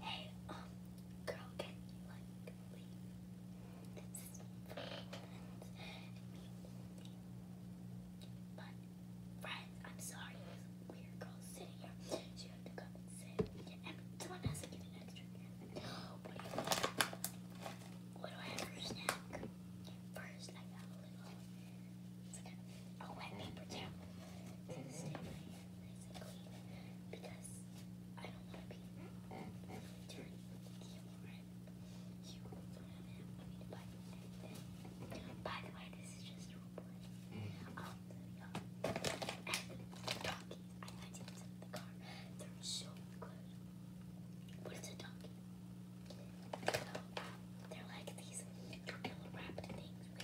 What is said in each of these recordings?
Hey, um, girl, can you like leave? This is friends. But friends, I'm sorry, this weird girl sitting here. She had to come sit. And someone has to give an extra What do I have for snack? First, I got a little. It's a, wet paper towel nice because I don't want to be dirty You By the way, this is just a report of the um, I got them in the car. They're so good. What is a donkey? they're like these tortilla wrapped things with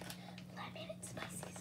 lemon and spices.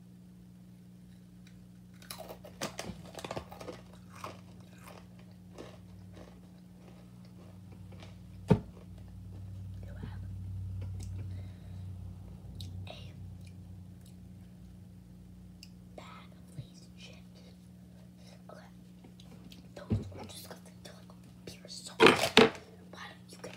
You have a bag lazy chips. Okay, those are just gonna feel like pure Why don't you get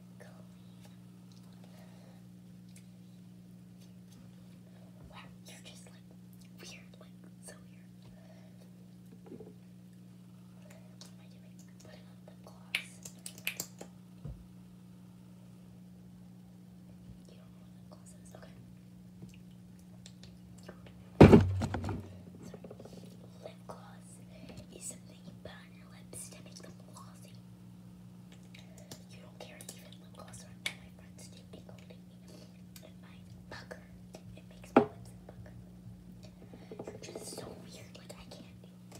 Wow, you're just like weird, like so weird. am I doing? Putting on the gloss. You don't know the gloss Okay. Sorry. Lip gloss is something you put on your lips to make them glossy. You don't care even lip gloss on my friends do, including me and mine pucker. It makes my lips pucker. You're just so weird, like I can't do it.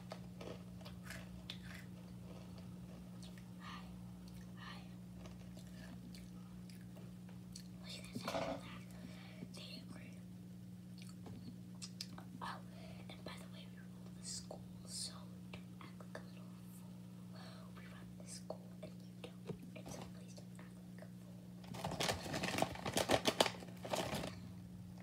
Hi. you Oh, and by the way, we rule the school, so don't act like a fool. We run the school, and you don't. And so please don't act like a fool.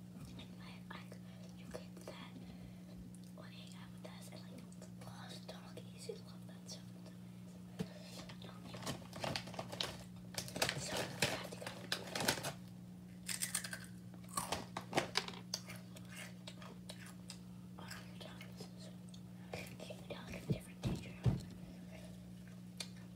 and you get that when you hang with us, and like, the boss dog love, that's so So, I have to go. Can you tell it's different teacher?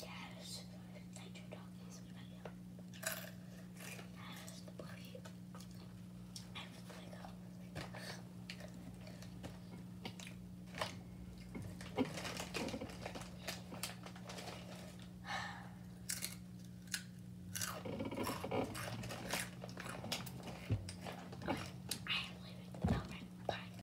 Yes, Nitro Doggies was my favorite. Yes, the I was gonna I am leaving Bye.